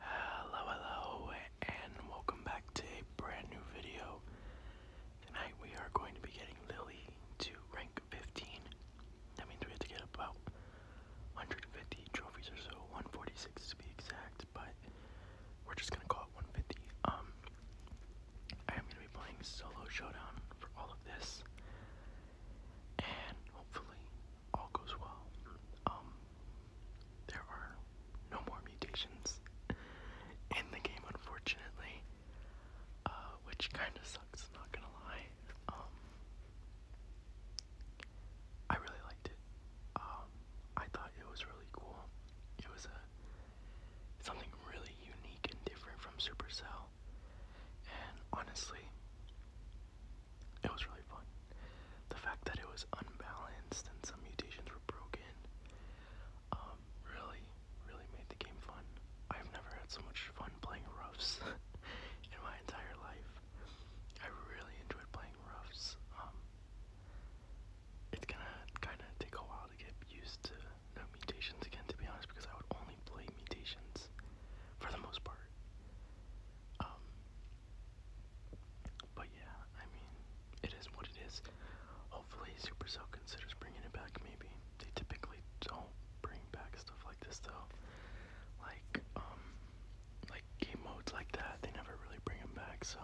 Hello, hello, and welcome back to a brand new video. Tonight we are going to be getting Lily to rank 15. That means we have to get about 150 trophies or so, 146 to be exact, but we're just gonna call it 150. Um, I am gonna be playing solo showdown for all of this, and hopefully all goes well. Um, there are no more mutations in the game, unfortunately, uh, which kind of sucks, not gonna lie. Um, I really liked it. Um, I thought it was really cool. It was a something really unique and different from Supercell, and honestly, it was really fun. The fact that it was unbalanced and some mutations were broken um, really, really made the game fun. I've never had so much fun playing roughs in my entire life. I really enjoyed playing roughs. Um, it's gonna kind of take a while to get used to no mutations again, to be honest, because I would only play mutations for the most part. Um, but yeah, I mean, it is what it is. Hopefully, Supercell considers bringing it back. Maybe they typically don't bring back stuff like this though. Like um, like game modes like that, they never really bring them back. So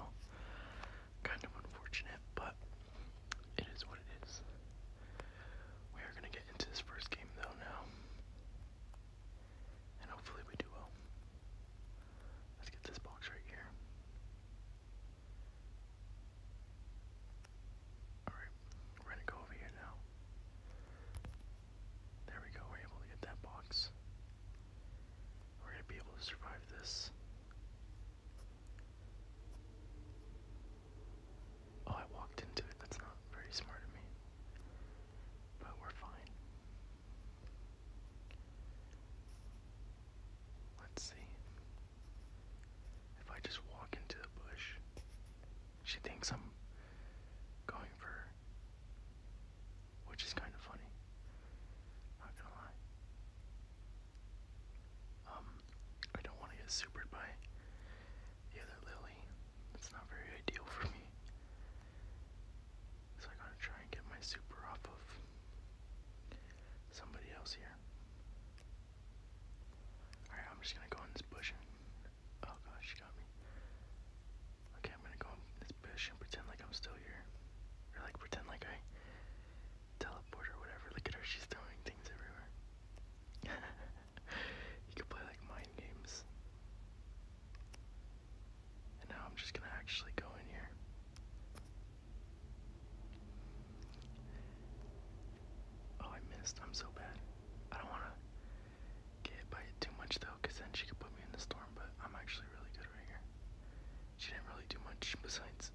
kind of unfortunate, but it is what it is. We are gonna get into this first game though now. And hopefully we do well. Let's get this box right here. Alright, we're gonna go over here now. There we go, we're able to get that box. We're gonna be able to survive this. Oh, I walked into it. That's not very smart of me. But we're fine. Let's see. If I just walk into the bush, she thinks I'm going for her. Which is kind of funny. Not gonna lie. Um, I don't want to get supered by the other lily. It's not very ideal for me. So I gotta try and get my super off of somebody else here. Alright, I'm just gonna go in this bush and. Oh gosh, she got me. Okay, I'm gonna go in this bush and pretend like I'm still here. Or like pretend like I teleport or whatever. Look at her, she's throwing things everywhere. you could play like mind games now I'm just gonna actually go in here. Oh, I missed. I'm so bad. I don't wanna get hit by too much though, because then she could put me in the storm, but I'm actually really good right here. She didn't really do much besides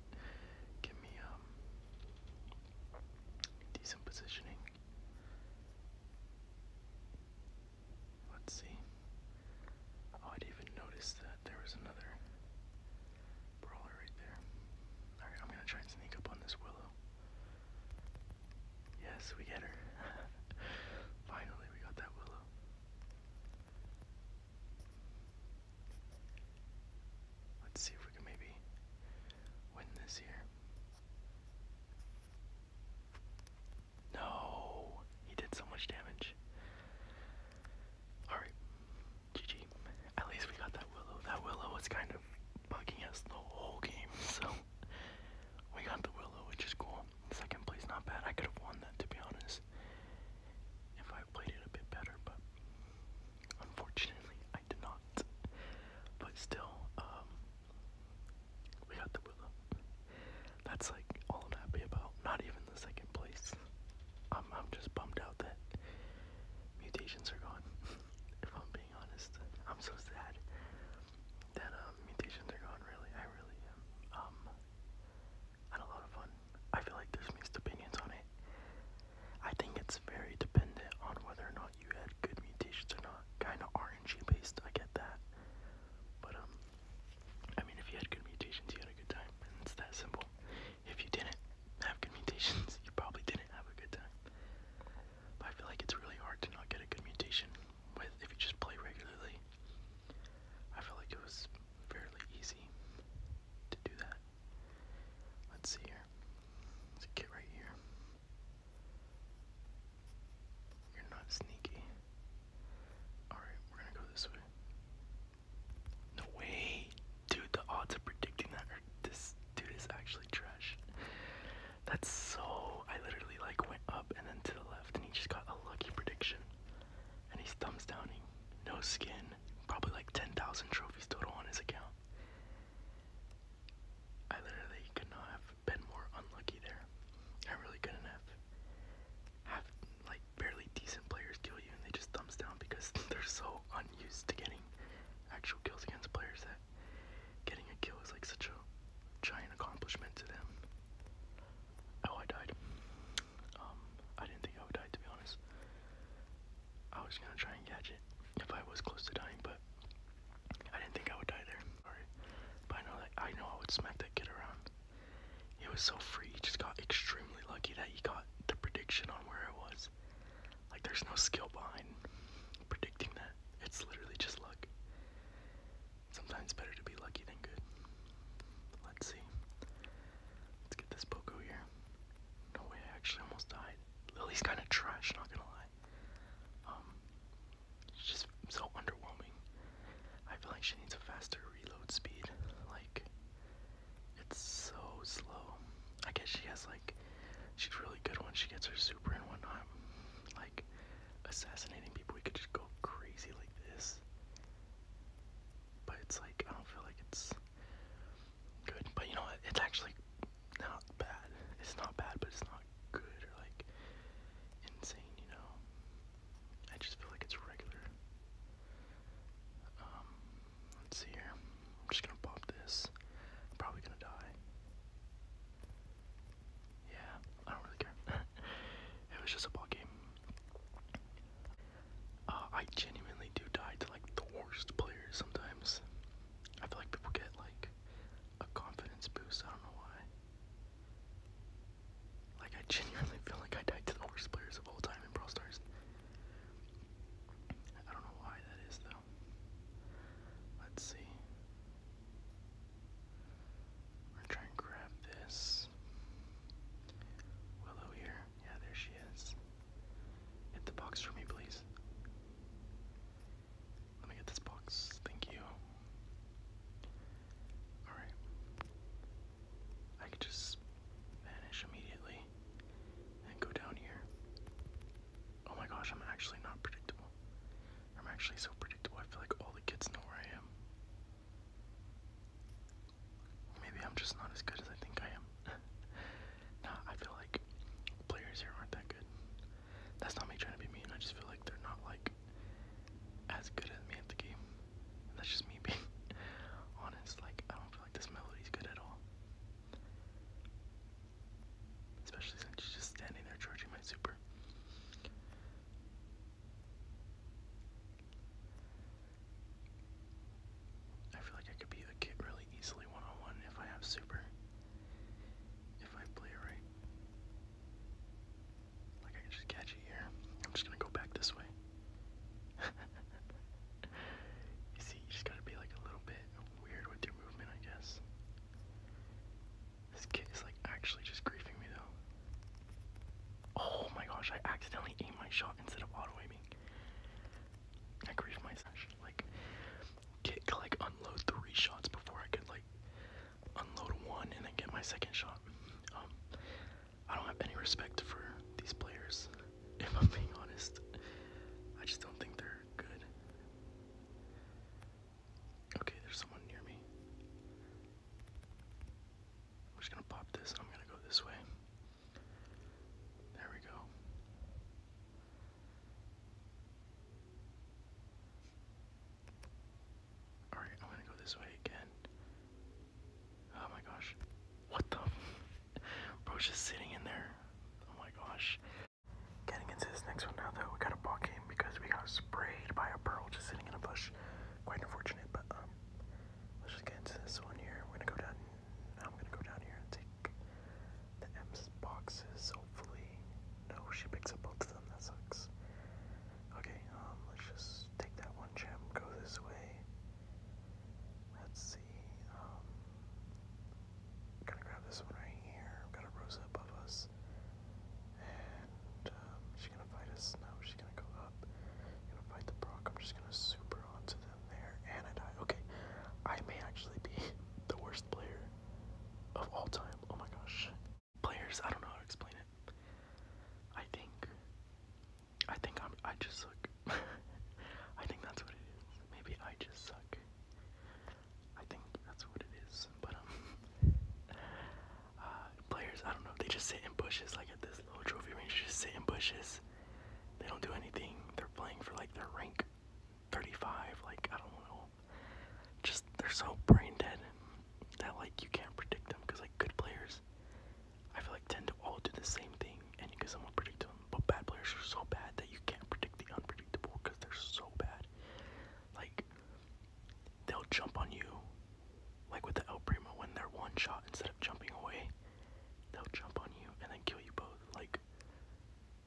give me um decent positioning. Let's see. Oh, I did even notice that there was another brawler right there. Alright, I'm gonna try and sneak up on this willow. Yes, we get her. Finally, we got that willow. Let's see if we can maybe win this here. No, he did so much damage. Alright, GG. At least we got that Willow. That Willow was kind of bugging us the whole game, so we got the Willow, which is cool. Second place, not bad. I could have won that, to be honest, if I played it a bit better, but unfortunately, I did not. But still, um, we got the Bula. That's like all I'm happy about. Not even the second place. I'm I'm just bummed out that mutations are gone. if I'm being honest, I'm so sad that um, mutations are gone. Really, I really Um, I had a lot of fun. I feel like there's mixed opinions on it. I think it's very dependent on whether or not you had good mutations or not. Kinda RNG based, I get that. But um I mean, if you had good mutations, you had a good time, it's that simple. If you didn't have good mutations, you probably didn't have a good time. But I feel like it's really hard to not get a good mutation with if you just play regularly. I feel like it was fairly easy to do that. Let's see here. There's kit right here. You're not sneaky. Alright, we're gonna go this way. No way! Dude, the odds of predicting that are this dude is actually trash. That's so I literally like went up and then to the left and he just got a lucky prediction. And he's thumbs downing. No skin. Probably like 10,000 trophies total on his account. I literally could have been more unlucky there. I really couldn't have like barely decent players kill you and they just thumbs down because they're so unused to getting actual kills against players that getting a kill is like such a giant accomplishment to them. Oh, I died. Um, I didn't think I would die to be honest. I was gonna try and catch it if I was close to dying, but I didn't think I would die there. Sorry. But I know that I know I would smack that kid around. He was so free. He just got extremely lucky that he got the prediction on where it was. Like there's no skill behind predicting that. It's literally just luck. Sometimes better to be lucky than good. Let's see. Let's get this Poco here. No way, I actually almost died. Lily's kind of trash, not gonna lie. Um, She's just so underwhelming. I feel like she needs a faster reload speed. Like, it's so slow. I guess she has like, she's really good when she gets her super and whatnot. Like, assassinating people, we could just go crazy like this. But it's like, I don't feel like it's good. But you know what? It's actually not bad. It's not bad, but it's not good or like insane, you know? I just feel like it's regular. Um, let's see here. I'm just gonna pop this. I'm probably gonna die. Yeah, I don't really care. it was just a ball game. Uh, I genuinely do die to like the worst players sometimes. I feel like people get like a confidence boost. I don't know why. Like, I genuinely feel like I died to the worst players of all time in Pro Stars. I don't know why that is, though. Let's see. We're trying to grab this. Willow here. Yeah, there she is. Hit the box for me, please. Let me get this box. Thank you. Alright. I could just vanish immediately and go down here. Oh my gosh, I'm actually not predictable. I'm actually so predictable, I feel like all the kids know where I am. Maybe I'm just not as good as I think I am. nah, I feel like players here aren't that good. That's not me trying to be mean, I just feel like they're not like as good as me at the game that's just me being honest. Like, I don't feel like this melody's good at all. Especially since she's just standing there charging my super. I feel like I could beat a kid really easily one on one if I have super. If I play right. Like I can just catch it here. I'm just gonna go back this way. you see, you just gotta be like a little bit weird with your movement, I guess. This kid is like actually just griefing me though. Oh my gosh, I accidentally aimed my shot instead of auto-aiming. I griefed myself. Like, kick like unload three shots before I could like unload one and then get my second shot. Um, I don't have any respect for these players, if I'm being honest. I just don't think they're good. Okay, there's someone near me. I'm just gonna pop this. I'm gonna go this way. There we go. Alright, I'm gonna go this way again. Oh my gosh. What the? Bro's just sitting in there. Oh my gosh. Getting into this next one now, though, we got a ball game because we got sprayed by a pearl just sitting in a bush. Quite unfortunate, but um, let's just get into this one here. We're gonna go down. I'm gonna go down here and take the M's boxes. Hopefully, no, she picks up both of them. That sucks. Okay, um, let's just take that one gem, go this way. Let's see, um, I'm gonna grab this one right here. got a Rosa above us. And, um, she's gonna fight us. No, she's gonna go up. gonna fight the Brock. I'm just gonna super onto them there. And I die. Okay, I may actually be the worst player of all time. Oh my gosh players. I don't know how to explain it. I think. I think I'm. I just suck. I think that's what it is. Maybe I just suck. I think that's what it is. But um, uh, players. I don't know. They just sit in bushes. Like at this little trophy range, just sit in bushes. They don't do anything. They're playing for like their rank 35. Like I don't know. Just they're so brain dead that like you can't predict them because like good players I feel like tend to all do the same thing, and you can somewhat predict them. But bad players are so bad that you can't predict the unpredictable because they're so bad. Like they'll jump on you, like with the El Primo when they're one shot instead of jumping away. They'll jump on you and then kill you both. Like,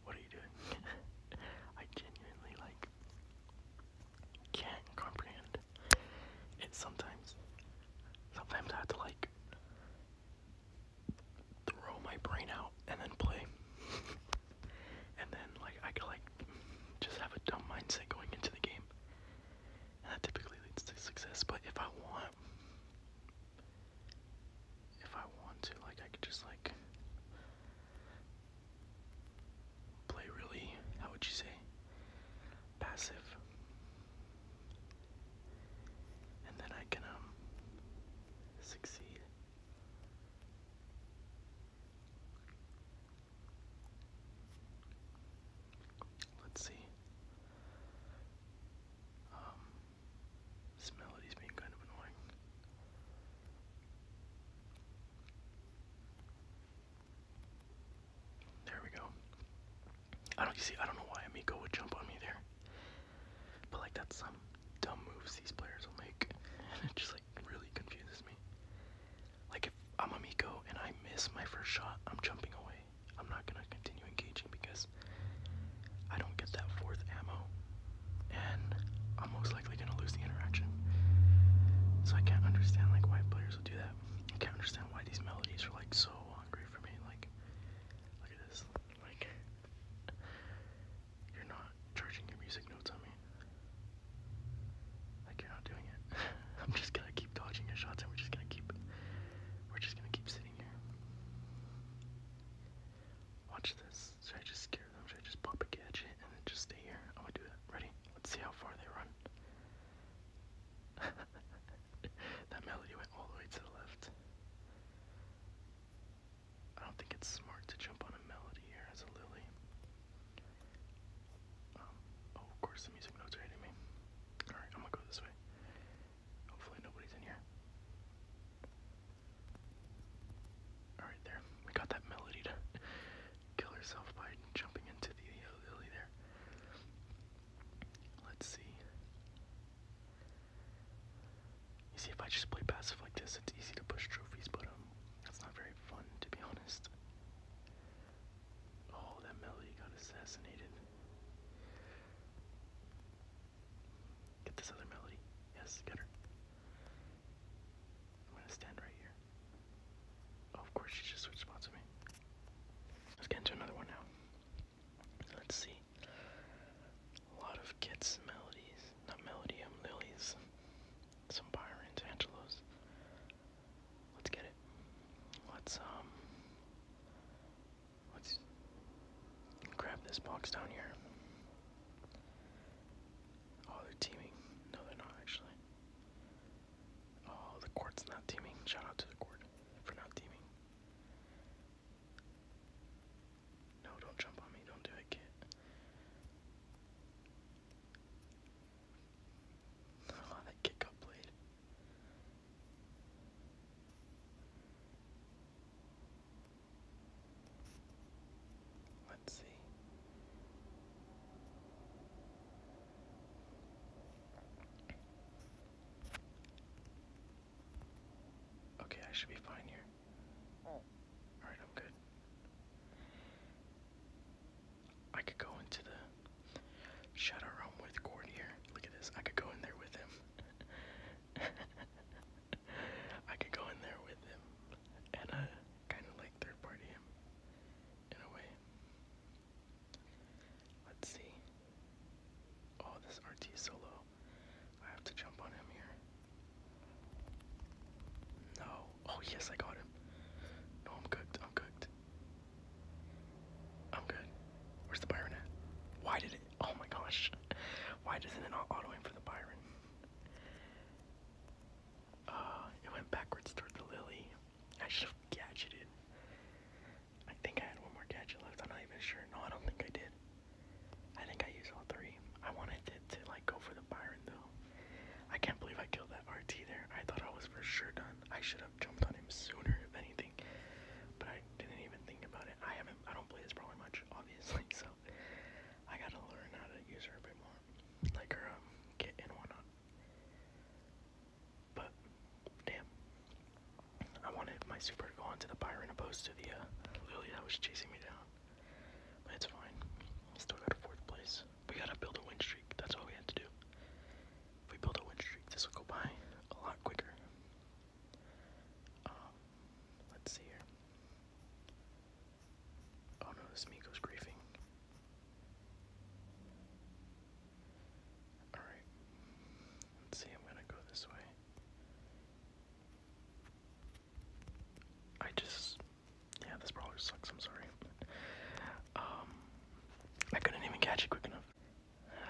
what are you doing? I genuinely like can't comprehend it's sometimes, sometimes I have to like throw my brain out and then play, and then like I can like just have a dumb mindset going into the game, and that typically leads to success. But if I want, if I want to, like I could just like play really, how would you say? passive. And then I can um succeed. Let's see. Um this melody's being kind of annoying. There we go. I don't you see I don't know why Amiko would jump on me there. But like that's some dumb moves these players will make. And it just like really confuses me. Like if I'm Amiko and I miss my first shot, I'm jumping away. I'm not gonna continue engaging because I don't get that fourth ammo. And I'm most likely gonna lose the interaction. So I can't understand like why players will do that. I can't understand why these melodies are like so hungry for me. Like, look at this. Like, you're not charging your music notes on me. Like, you're not doing it. I'm just gonna keep dodging your shots, and we're just gonna keep. We're just gonna keep sitting here. Watch this. Should I just scare them? Should I just pop a gadget and then just stay here? I'm gonna do that. Ready? Let's see how far they run. that melody went all the way to the left. I don't think it's smart to jump on a melody here as a lily. Um, oh, of course, the music notes are hitting me. Alright, I'm gonna go this way. Hopefully, nobody's in here. Alright, there. We got that melody to kill herself by jumping into the lily there. Let's see. You see, if I just play passive like this, it's easy to push trophies, but um, that's not very fun to be honest. Oh, that Melody got assassinated. Get this other Melody. Yes, get her. I'm gonna stand right here. Oh, of course, she just switched spots with me. Let's get into another one now. Let's see. A lot of Kit's melodies. Not melody, I'm um, lilies. Some Byron's, Angelos. Let's get it. Let's, um. Let's grab this box down here. Oh, they're teaming. No, they're not actually. Oh, the court's not teaming. Shout out to the court for not teaming. No, don't jump on me. Don't do it, kid. Oh, that kick got played. Let's see. Okay, I should be fine here. Alright, I'm good. I could go into the shadow realm with Gord Look at this. I could go in there with him. I could go in there with him. And uh, kind of like third party him. In a way. Let's see. Oh, this RT is so low. I have to jump on him here. No. Oh, yes, I got him. No, I'm cooked. I'm cooked. I'm good. Where's the Byron at? Why did it? Oh my gosh. Why doesn't it not auto aim for the Byron? Uh, it went backwards toward the Lily. I should have gadgeted. I think I had one more gadget left. I'm not even sure. No, I don't think I did. I think I used all three. I wanted it to like go for the Byron though. I can't believe I killed that RT there. I thought I was for sure done. I should have jumped on him sooner if anything. But I didn't even think about it. I haven't I don't play this probably much, obviously, so I gotta learn how to use her a bit more. Like her um, kit and whatnot. But damn, I wanted my super to go onto the Byron opposed to the uh, Lily that was chasing me down. But it's fine. Still got a fourth place. We gotta build a win streak. That's all we had to do. If we build a win streak, this will go by a lot quicker. Um, let's see here. Oh no, this Miko's griefing. Alright. see, I'm gonna go this way. I just yeah, this probably sucks, I'm sorry. Um I couldn't even catch it quick enough.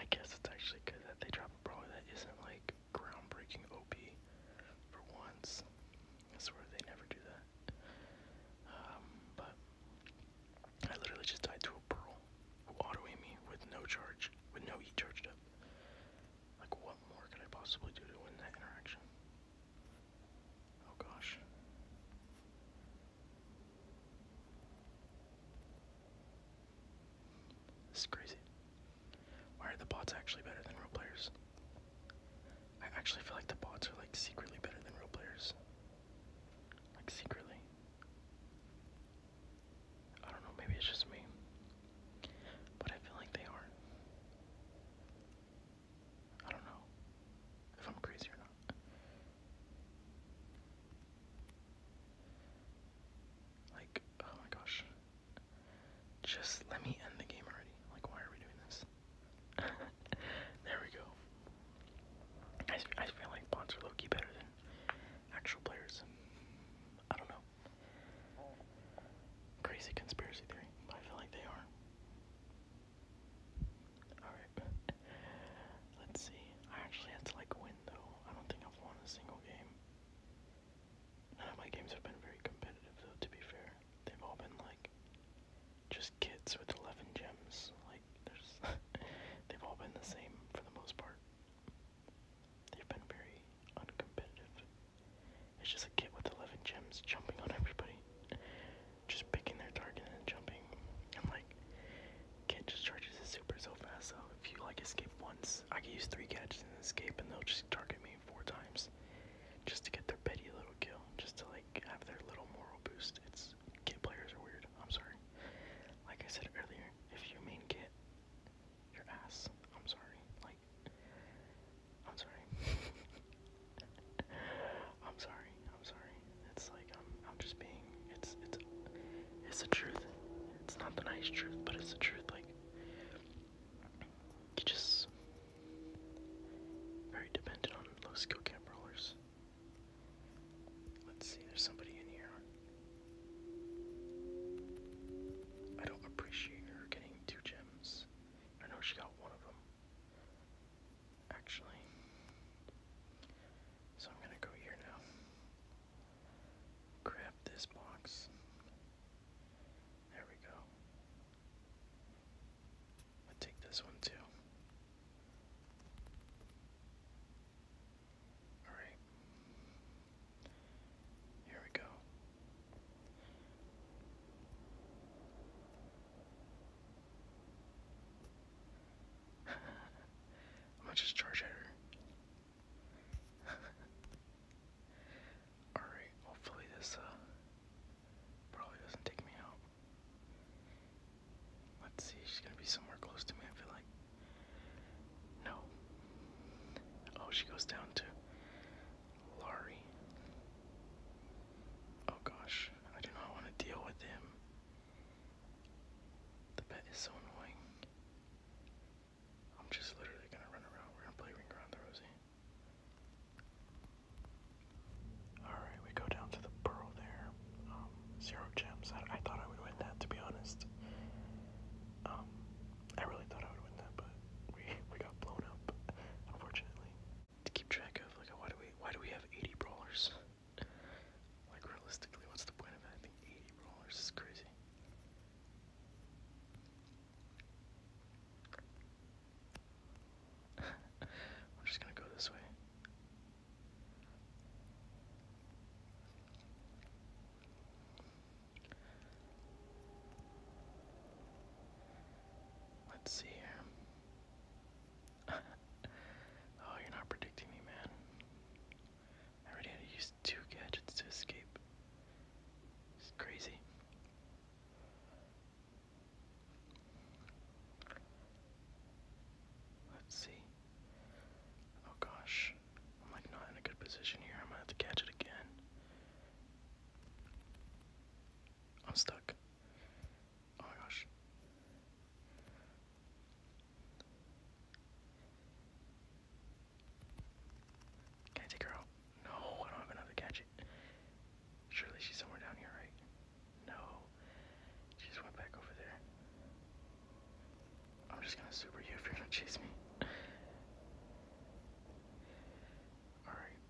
I guess it's actually good that they drop a brawler that isn't like groundbreaking OP for once. I swear they never do that. Um, but I literally just died to a pearl who auto me with no charge, with no E charged up. Like, what more could I possibly do to win that interaction? Oh gosh. This is crazy. Why are the bots actually better than real players? I actually feel like the bots are like secretly better than real players. Like secretly. I don't know, maybe it's just me. But I feel like they are. I don't know if I'm crazy or not. Like, oh my gosh. Just let me end the game already. Like, why are we doing this? there we go. I, I feel like bots are low-key better than actual players. I don't know. Crazy conspiracy theory, I feel like they are. Alright. Let's see. I actually had to like win though. I don't think I've won a single game. None of my games have been very competitive though, to be fair. They've all been like just kids with 11 gems. Like, there's, they've all been the same for the most part. They've been very uncompetitive. It's just a kid with 11 gems jumping on everybody. Just picking their target and jumping. And like, kid just charges his super so fast. So if you like escape once, I can use three gadgets and escape, and they'll just target me four times, just to get their petty little kill, just to like have their little moral boost. It's kit players are weird. I'm sorry. Like I said earlier, if you mean kit your ass, I'm sorry. Like, I'm sorry. I'm sorry. I'm sorry. It's like I'm. Um, I'm just being. It's. It's. It's the truth. It's not the nice truth, but it's the truth. Like, you just very dependent on low skill camp rollers. Let's see, there's somebody in here. I don't appreciate her getting two gems. I know she got one of them. Actually. So I'm gonna go here now. Grab this box. There we go. i take this one too. Alright. Here we go. I'm just charge Alright, hopefully this uh probably doesn't take me out. Let's see, she's gonna be somewhere close to me, I feel like. No. Oh, she goes down to Laurie. Oh gosh, I do not want to deal with him. The pet is so annoying. I'm just literally gonna run around. We're gonna play Ring Around the Rosie. Alright, we go down to the pearl there. Um, zero gems. I, I thought I would win that, to be honest. Um, I really thought I would win that, but we, we got blown up, unfortunately. To keep track of, like, why do we, why do we have 80 brawlers? like, realistically, what's the point of having 80 brawlers? It's crazy. We're just gonna go this way. Let's see here. oh, you're not predicting me, man. I already had two gadgets to escape. It's crazy. Let's see. Oh gosh. I'm like not in a good position here. I'm gonna have to catch it again. I'm stuck. Oh gosh. Can I take her out? No, I don't have another gadget. Surely she's somewhere down here, right? No. She just went back over there. I'm just gonna super you if you're gonna chase me. Alright.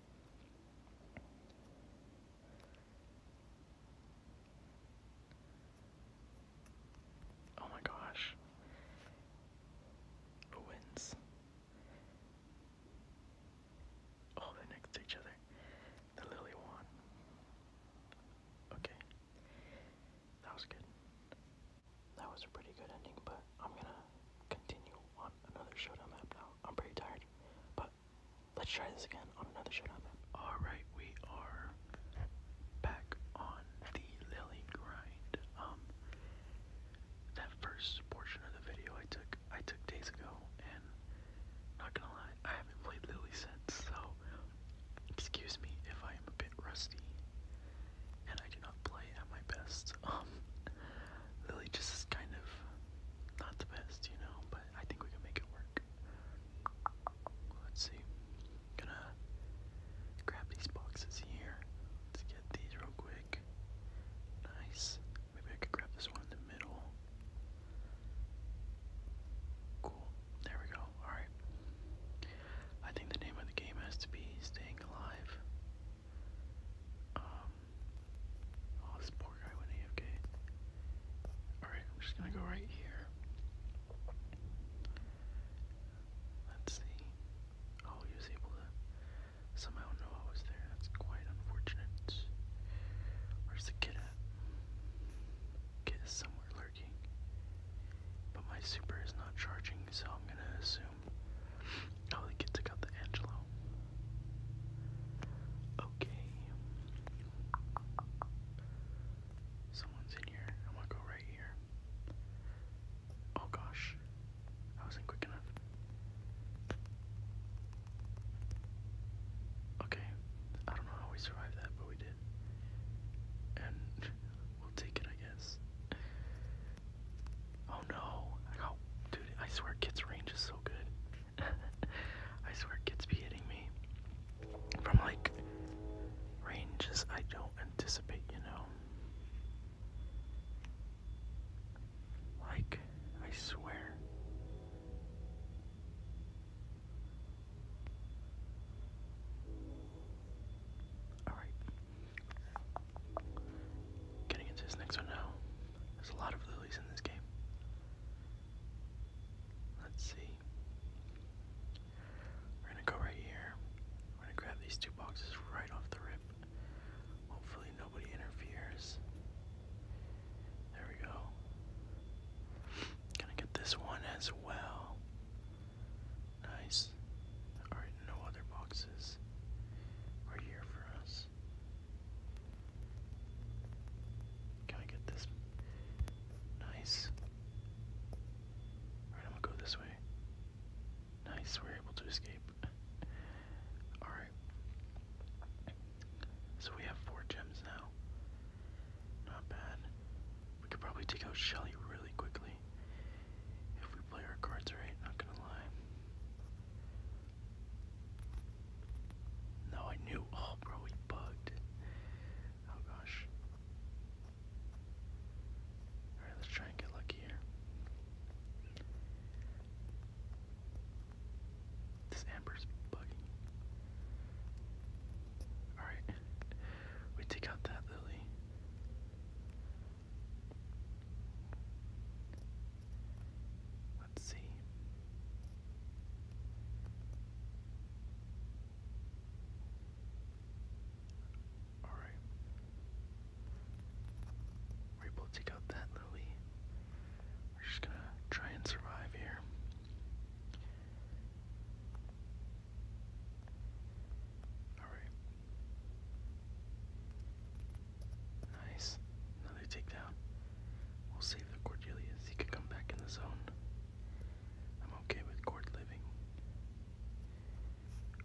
Oh my gosh. Who wins? Oh, they're next to each other. The lily one. Okay. That was good. That was a pretty good ending, but I'm gonna continue on another showdown map now. I'm pretty tired, but let's try this again on another showdown map. Alright, we are back on the lily grind. Um that first portion of the video I took I took days ago and not gonna lie, I haven't played Lily since, so excuse me if I am a bit rusty and I do play at my best. Um, Lily just is kind of not the best, you know, but I think we can make it work. Let's see. gonna grab these boxes here. Let's get these real quick. Nice. Maybe I could grab this one in the middle. Cool. There we go. Alright. I think the name of the game has to be Staying Alive. Um. Oh, this poor guy went AFK. Alright, I'm just gonna go right here. Let's see. Oh, he was able to somehow know I was there. That's quite unfortunate. Where's the kid at? Kit somewhere lurking. But my super is not charging, so I'm gonna assume. Oh, the kid took the Angelo. Okay. Someone's in here. I'm gonna go right here. Oh gosh. I wasn't quick enough. Okay. I don't know how we survived that, but we did. And we'll take it, I guess. Oh no. dude, I swear Kit's range is so good. I swear Kit's be hitting me. From like ranges I don't anticipate, you know. Like, I swear. Alright. Getting into this next one now. There's a lot of lilies in this game. Let's see. We're gonna go right here. We're gonna grab these two boxes right off the rip. Hopefully, nobody interferes. There we go. Gonna get this one as well. Nice. Alright, no other boxes are here for us. Can I get this? Nice. Alright, I'm gonna go this way. Nice, we're able to escape. Alright. So we have four gems now. Not bad. We could probably take out Shelly really quickly. If we play our cards right, not gonna lie. No, I knew. Oh, bro, we bugged. Oh gosh. Alright, let's try and get lucky here. This Amber's bugging. Alright. We take out that lily. Let's see. Alright. We're able to take out that lily. We're just gonna try and survive here. Alright. Nice. Another takedown. We'll save the Cordelius. He could come back in the zone. I'm okay with Cord living.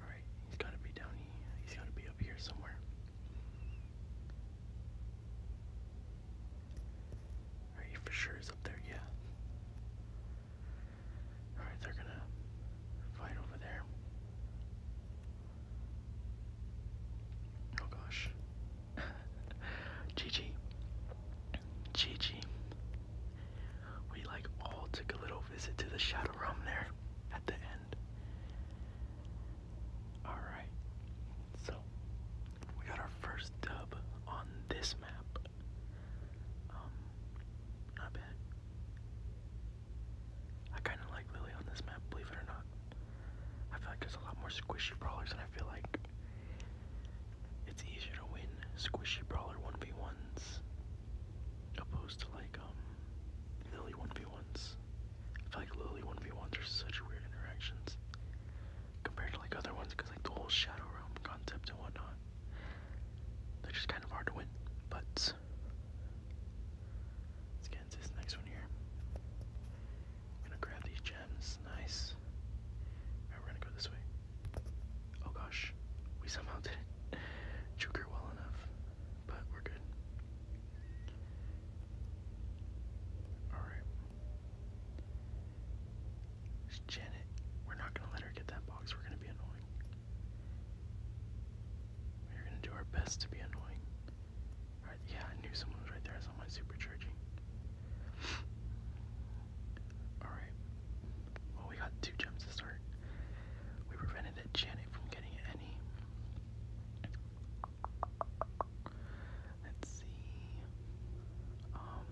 Alright, he's gotta be down here. He's gotta be up here somewhere. Are you for sure is up there? Yeah. Alright, they're gonna fight over there. Oh gosh. GG. GG. We like all took a little visit to the shadow realm there at the end. Alright. So we got our first dub on this map. Um, not bad. I kind of like Lily on this map, believe it or not. I feel like there's a lot more squishy brawlers, and I feel like it's easier to win squishy brawler 1v1s opposed to like, um, Lily 1v1s. I feel like Lily 1v1s are such weird interactions compared to like other ones because like the whole shadow realm concept and whatnot they're just kind of hard to win but let's get into this next one here i'm gonna grab these gems nice we right we're gonna go this way oh gosh we somehow didn't trigger well enough but we're good all right Janet. We're not gonna let her get that box. We're gonna be annoying. We're gonna do our best to be annoying. Yeah, I knew someone was right there. I saw my All right. Well, we got two gems to start. We prevented that Janet from getting any. Let's see. Um,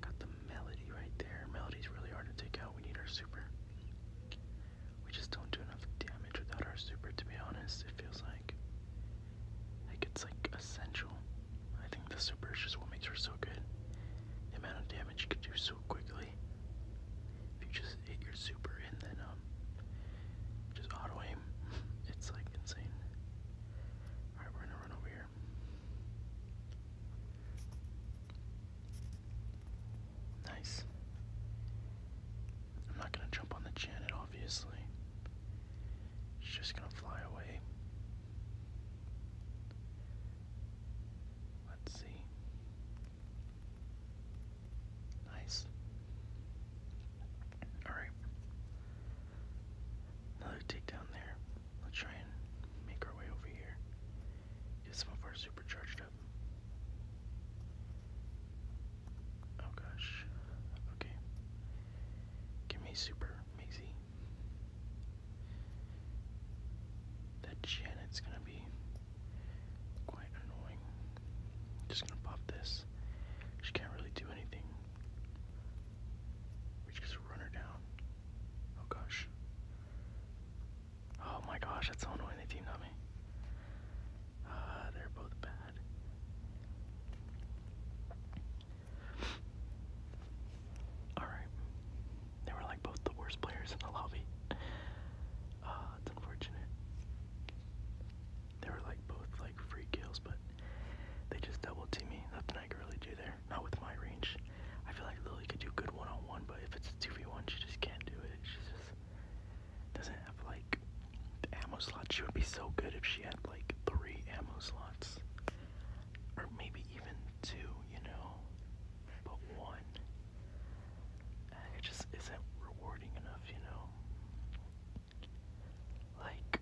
Got the melody right there. Melody's really hard to take out. We need our super. We just don't do enough damage without our super, to be honest. It feels like. Like it's like essential. I think the super is just what makes her so good. The amount of damage you could do so quickly. If you just hit your super and then um just auto aim. It's like insane. Alright, we're gonna run over here. Nice. I'm not gonna jump on the Janet, obviously. She's just gonna fly away. Let's see. Nice. Alright. Another down there. Let's try and make our way over here. Get some of our supercharged up. Oh gosh. Okay. Give me super, Maisie. That Janet's gonna be quite annoying. Just gonna pop this. She can't really do anything. We just run her down. Oh gosh. Oh my gosh, that's so annoying they teamed up. me. Ah, they're both bad. Alright. They were like both the worst players in the lobby. Uh, it's unfortunate. They were like both like free kills, but they just double team me. Nothing I can really do there. Not with my range. I feel like Lily could do good one on one, but if it's a 2v1, she just can't do it. She just doesn't have like the ammo slots. She would be so good if she had like three ammo slots. Or maybe even two, you know? But one. It just isn't rewarding enough, you know? like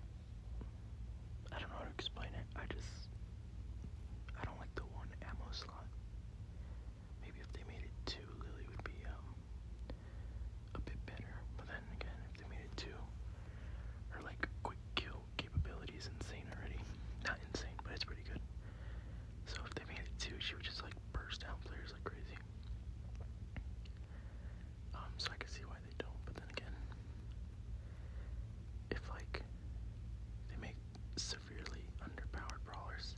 I don't know how to explain it. I just I don't like the one ammo slot. Maybe if they made it two, Lily would be um a bit better. But then again, if they made it two, her like quick kill capability is insane already. Not insane, but it's pretty good. So if they made it two, she would just like burst down players like crazy. Um, so I can see why they don't, but then again, if like they make severely underpowered brawlers,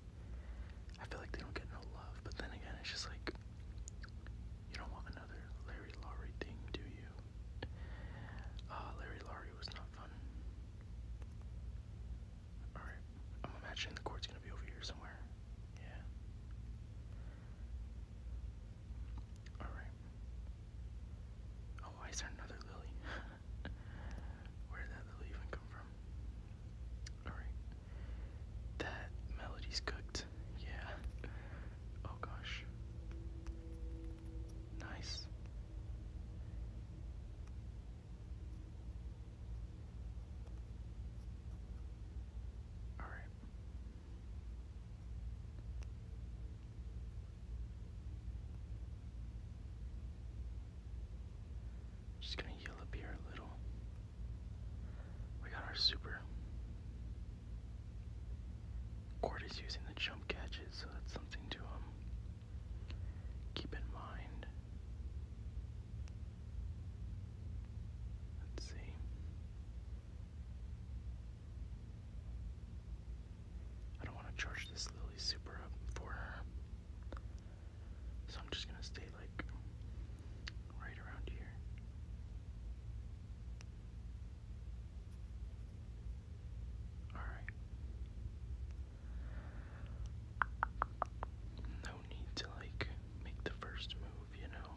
I feel like they don't get no love. But then again, it's just like you don't want another Larry Laurie thing, do you? Uh, Larry Laurie was not fun. Alright, I'm imagining the court's gonna be over here somewhere. Yeah. Alright. Oh, why is there another lily? Where did that lily come from? Alright. That melody's cooked. Yeah. Oh gosh. Nice. Alright. Just gonna heal up here a little. We got our super. Court is using the jump catches, so that's something to um, keep in mind. Let's see. I don't want to charge this Lily super for her. So I'm just going to stay like right around here. Alright. No need to like make the first move, you know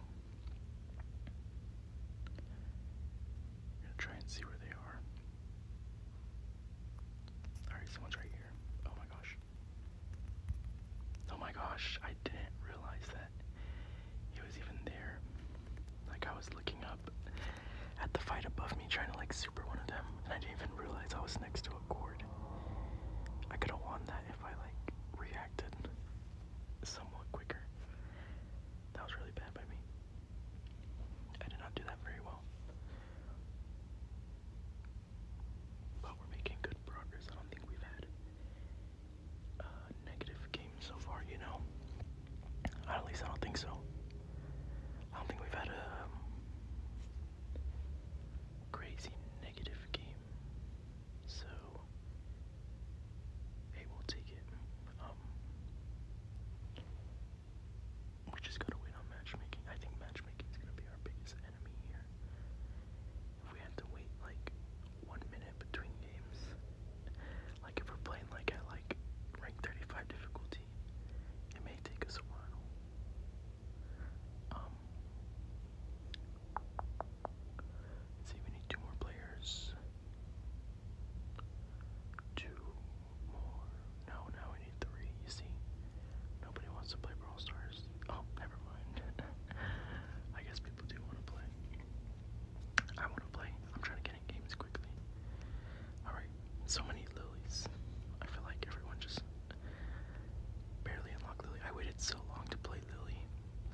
i try and see where they are. Alright, someone's right here. Oh my gosh. Oh my gosh, I didn't realize that he was even there. Like, I was looking up at the fight above me, trying to like super one of them, and I didn't even realize I was next to a cord. I could have won that if I like reacted somewhat quicker. That was really bad by me. I did not do that very well. But we're making good progress. I don't think we've had a negative game so far, you know? At least I don't think so. I don't think we've had a um, crazy negative game. So, Hey, will take it. Um, we just gotta wait on matchmaking. I think matchmaking is gonna be our biggest enemy here. If we had to wait like one minute between games, like if we're playing like at like rank 35 difficulty, it may take us a while. Um, see, we need two more players. Two more. No, now we need three. You see, nobody wants to play Brawl Stars. Oh, never mind. I guess people do want to play. I want to play. I'm trying to get in games quickly. Alright, so many lilies. I feel like everyone just barely unlocked Lily. I waited so long to play Lily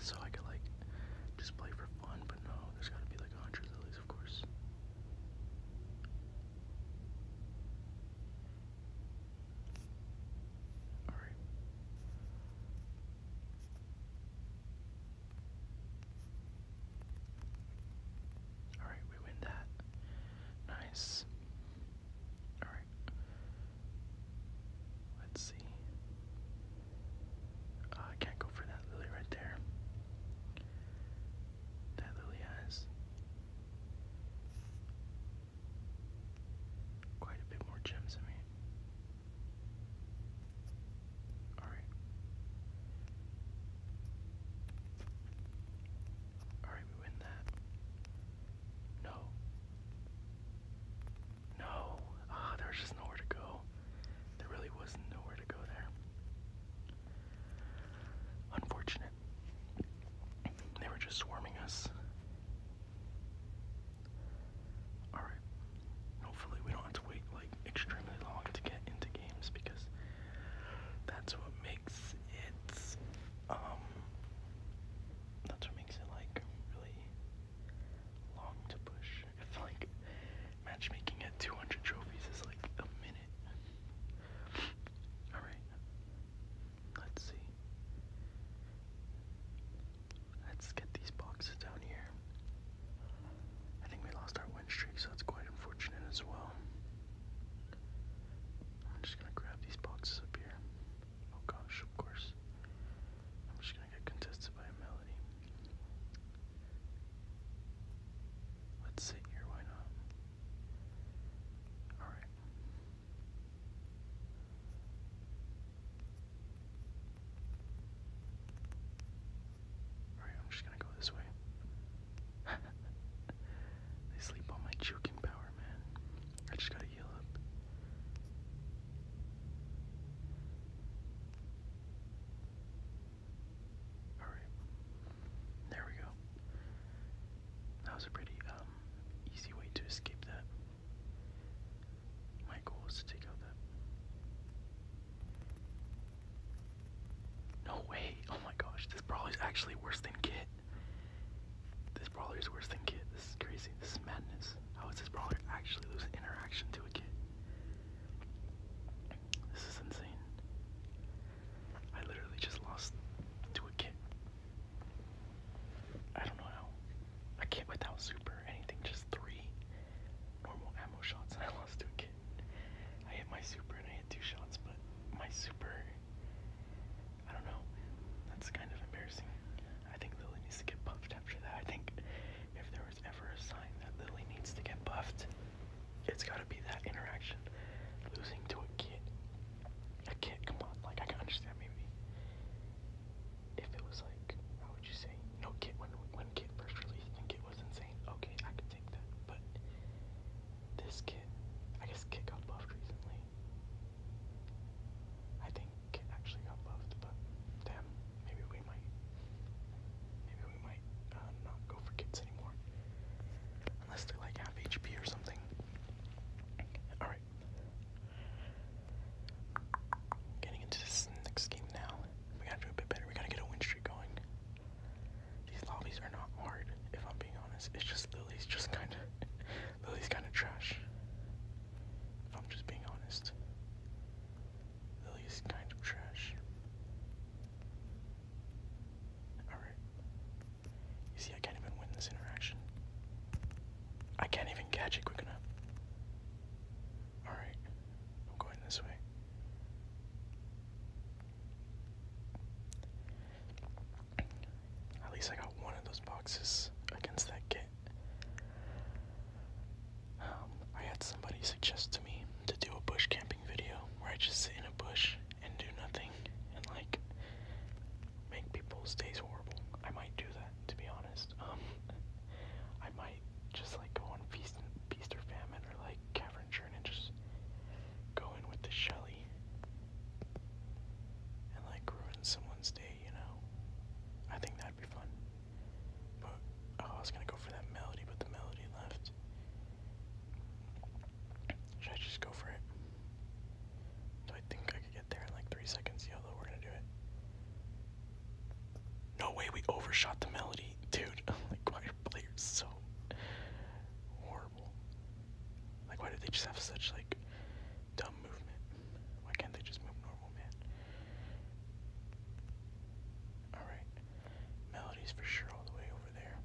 so I could, like, just play for one, but no, there's gotta be like a hundred lilies, of course. Alright. Alright, we win that. Nice. Alright. Let's see. Uh, I can't go for that lily right there. That lily has quite a bit more gems than me. Alright. Alright, we win that. No. No. Ah, there's just nowhere to go. There really was nowhere to go there. Unfortunate. They were just swarming us. Alright. Hopefully, we don't have to wait like extremely long to get into games because that's what makes it. Um, that's what makes it like really long to push. It's like matchmaking at 200 trophies is like a minute. Alright. Let's see. Let's get these boxes down here. I think we lost our win streak, so that's quite unfortunate as well. I'm just gonna grab these boxes up here. Oh gosh, of course just get contested by a melody. Let's sit here, why not? Alright. Alright, I'm just gonna go this way. they sleep on my choking power, man. I just gotta yell up. Alright. There we go. That was a pretty um easy way to escape that. My goal is to take out that. No way! Oh my gosh, this brawler is actually worse than Kit. This brawler is worse than Kit. This is crazy. This is madness. How is this brawler actually losing interaction to a Kit? This is insane. I literally just lost to a kid. I don't know how. A can without super anything, just three normal ammo shots, and I lost to a kid. I hit my super and I hit two shots, but my super. I don't know. That's kind of embarrassing. I think Lily needs to get buffed after that. I think if there was ever a sign that Lily needs to get buffed, it's gotta be that interaction. Losing to a kid. A kid, come on, like I can understand maybe. If it was like, how would you say, you know, Kit when when Kit first released and Kit was insane, okay, I could take that. But this Kit, I guess Kit got buffed recently. I think Kit actually got buffed, but damn, maybe we might, maybe we might uh, not go for kids anymore, unless they like half HP or something. All right, getting into this next game now. We gotta do a bit better. We gotta get a win streak going. These lobbies are not hard, if I'm being honest. It's just Lily's just kind of, Lily's kind of trash. If I'm just being honest. Lily's kind of trash. Alright. You see, I can't even win this interaction. I can't even catch it quick enough. Alright, I'm going this way. At least I got one of those boxes against that kit. Um, I had somebody suggest to me to do a bush camping video where I just sit in a bush and do nothing and like make people's days horrible. I might do that to be honest. Um, I might just like go on feast feast or famine or like cavern churn and just go in with the Shelly and like ruin someone's day, you know. I think that'd be fun oh, I was gonna go for that melody, but the melody left. Should I just go for it? Do I think I could get there in like three seconds? Yolo, we're gonna do it. No way, we overshot the melody, dude. like, why are players so horrible? Like, why do they just have such like dumb movement? Why can't they just move normal, man? All right. Melody's for sure all the way over there.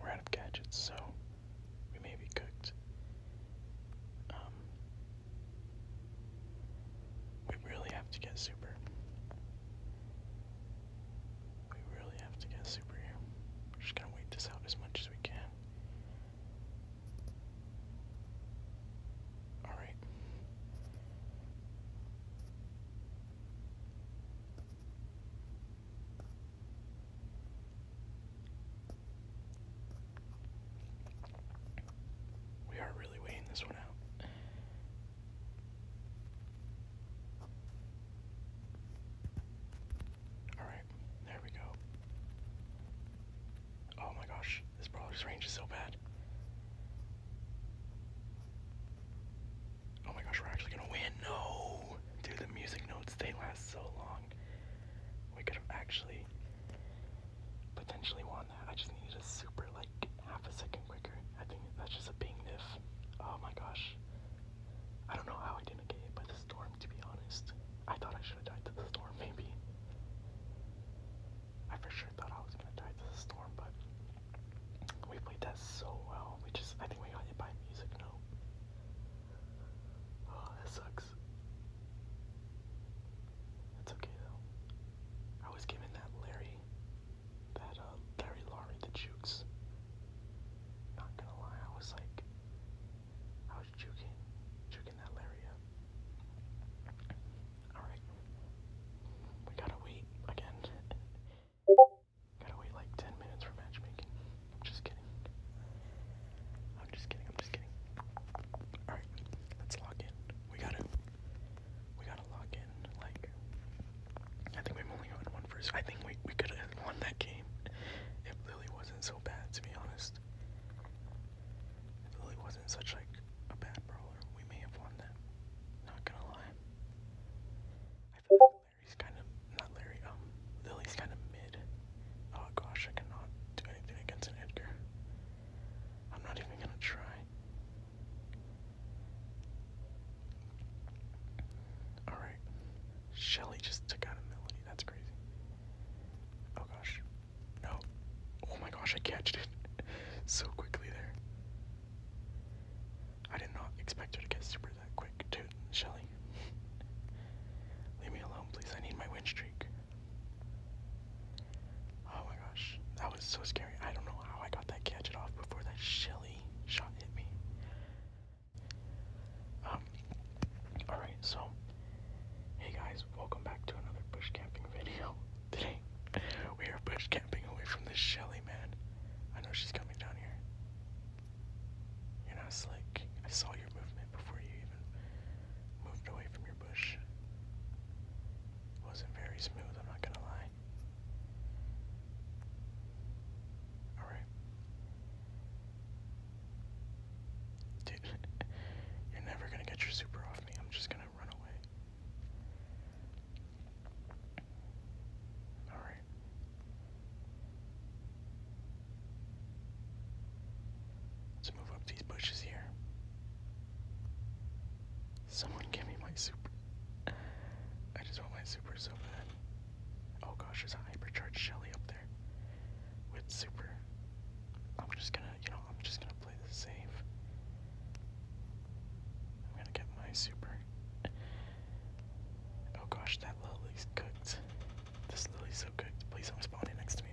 We're out of gadgets, so we may be cooked. Um, we really have to get super. We really have to get super here. We're just gonna wait this out as much as we can. All right. We are really weighing this one out. All right, there we go. Oh my gosh. This brawler's range is so bad. Oh my gosh, we're actually gonna win. No! Dude, the music notes, they last so long. We could have actually potentially won that. I just needed a super, like, half a second quicker. I think that's just a big niff. Oh my gosh. I don't know how I didn't get hit by the storm, to be honest. I thought I should have died to the storm, maybe. I for sure thought I was gonna die to the storm, but we played that so well. We just, I think we got hit by music note. Oh, that sucks. It's okay though. I was giving that Larry, that uh, Larry Laurie the jukes. Not gonna lie, I was like, I was juking, juking that Larry Alright. We gotta wait again. gotta wait like 10 minutes for matchmaking. I'm just kidding. I'm just kidding. I'm just kidding. Alright. Let's log in. We gotta. We gotta log in. Like. I think we've only gotten one first. I think we, we could have won that game. It really wasn't so bad, to be honest. Lily wasn't such like a bad brawler. We may have won that. Not gonna lie. I feel like Larry's kind of not Larry. Um, Lily's kind of mid. Oh gosh, I cannot do anything against an Edgar. I'm not even gonna try. Alright. Shelly just took out a melody. That's crazy. Oh gosh. No. Oh my gosh, I catched it so quickly there. I did not expect her to get super that quick, too, Shelly. Leave me alone, please. I need my win streak. Oh my gosh, that was so scary. I don't know how I got that gadget off before that Shelly shot hit me. Um, alright, so, hey guys, welcome back to another bush camping video. Today, we are bush camping away from this Shelly, man. I know she's coming down here. You're not slick. I saw your movement before you even moved away from your bush. wasn't very smooth, I'm not gonna lie. Alright. Dude, you're never gonna get your super off me. I'm just gonna run away. Alright. Let's move up these bushes here. Someone give me my super. I just want my super so bad. Oh gosh, there's a hypercharged Shelly up there. With super. I'm just gonna, you know, I'm just gonna play this safe. I'm gonna get my super. Oh gosh, that lily's cooked. This lily's so cooked. Please don't spawn it next to me.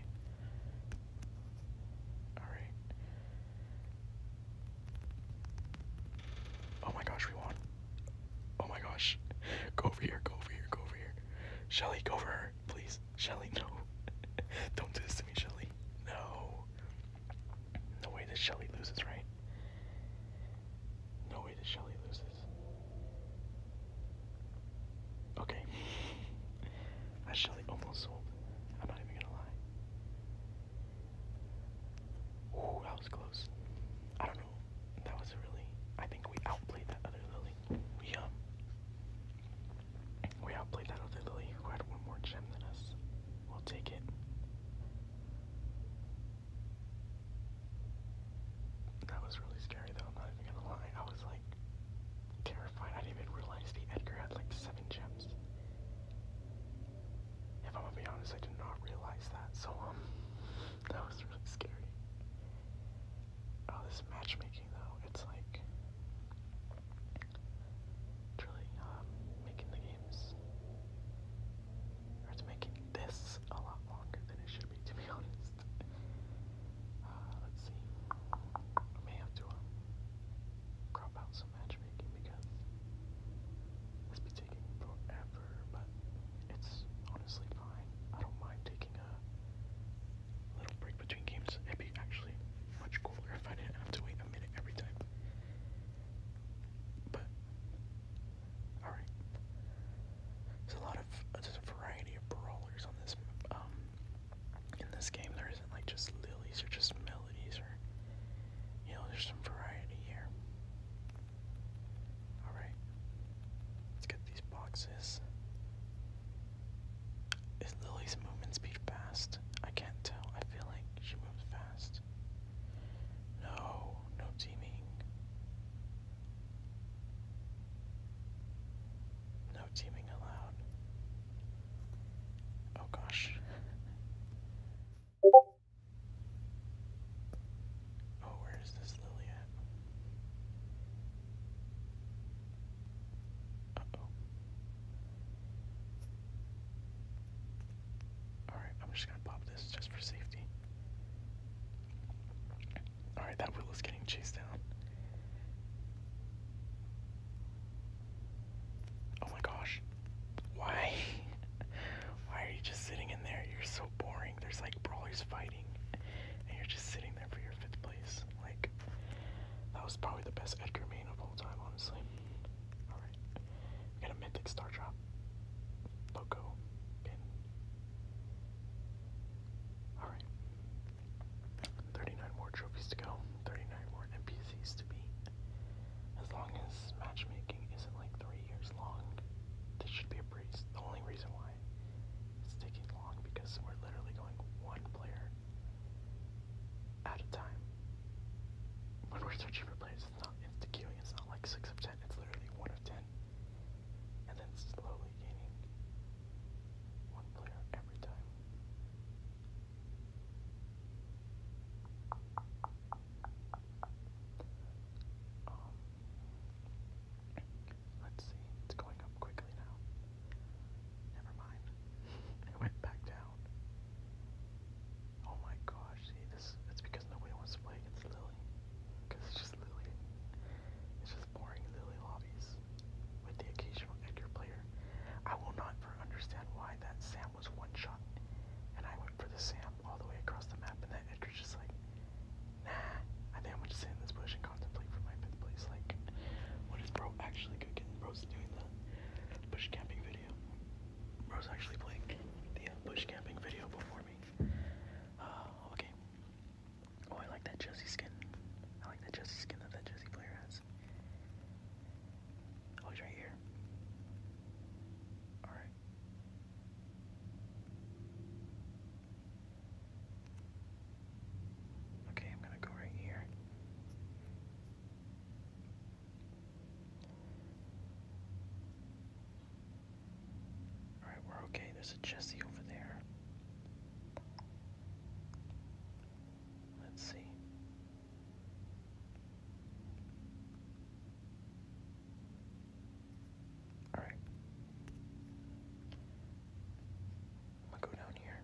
Alright. Oh my gosh, we won. Oh my gosh. Go over here, go over here, go over here. Shelly, go over her, please. Shelly, no. don't do this to me, Shelly. No. No way that Shelly loses, right? No way that Shelly loses. Okay. I Shelly almost sold. I'm not even gonna lie. Ooh, that was close. I don't know. That was really I think we outplayed that other Lily. We um, we outplayed that other Lily who had one more gem than us. We'll take it. That was really scary though, I'm not even gonna lie. I was like terrified. I didn't even realize the Edgar had like seven gems. If I'm gonna be honest, I did not realize that, so um that was really scary. Oh, this matchmaking though, it's like truly um, making the games, or it's making this a lot longer than it should be, to be honest. Uh, let's see. I may have to um, crop out some matchmaking because this be taking forever, but it's honestly fine. I don't mind taking a little break between games. It'd be actually much cooler if I didn't have to wait a minute every time. But alright. There's a lot of uh, there's a variety of brawlers on this um in this game there isn't like just lilies or just melodies or you know, there's some variety here. Alright. Let's get these boxes. Is Lily's movement speed fast? I can't tell. I feel like she moves fast. No, no teaming. No teaming allowed. Oh gosh. oh, where is this Lily at? Uh-oh. Alright, I'm just gonna pop this just for safety. Alright, that wheel is getting chased down. Oh my gosh. Why? Why are you just sitting in there? You're so boring. There's like brawlers fighting, and you're just sitting there for your fifth place. Like, that was probably the best Edgar main of all time, honestly. Alright. We got a Mythic Star Drop. Loco pin. Alright. 39 more trophies to go. 39 more NPCs to be. As long as matchmaking isn't like three years long, this should be a breeze. The only reason why it's taking long because we're literally going one player at a time. When we're searching for players, it's not insta queuing, it's not like 6 of 10, it's literally 1 of 10. And then slowly gaining one player every time. Um, let's see, it's going up quickly now. Never mind. it went back down. Oh my gosh, see, this it's because nobody wants to play against Lily. Because it's just Lily. It's just boring Lily lobbies with the occasional Edgar player. I will not understand why that Sam was one shot and I went for the Sam all the way across the map and that Edgar's just like, nah, I think I'm gonna sit in this bush and contemplate for my fifth place. Like, what is bro actually cooking? Bro's doing the bush camping video. Rose actually playing the uh, bush camping video before me. Oh, okay. Oh, I like that Jesse skin. I like that Jesse skin that that Jesse player has. Oh, he's right here. Alright. Okay, I'm gonna go right here. Alright, we're okay. There's a Jesse over there. Let's see. Alright. I'm go down here.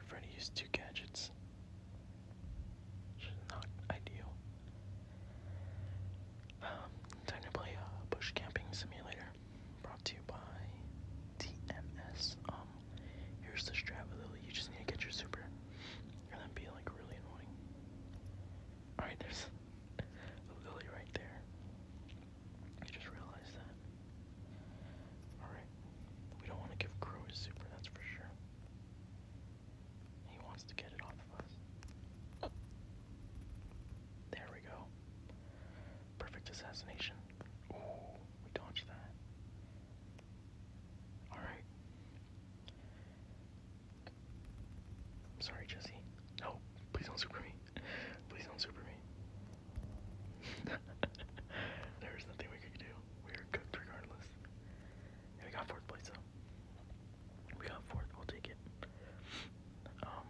I've already used two gadgets. Which not ideal. Um, time to play a uh, bush camping simulator. Brought to you by TMS. Um, here's the strat with Lily. You just need to get your super, and then be like really annoying. All right, there's Lily right there. I just realized that. Alright. We don't want to give Crow his super, that's for sure. He wants to get it off of us. There we go. Perfect assassination. Ooh, we dodged that. Alright. I'm sorry, Jesse. No, please don't super me. Please don't super me. there nothing we can do. We are cooked regardless. we got fourth place though. We got fourth. We'll take it. Um,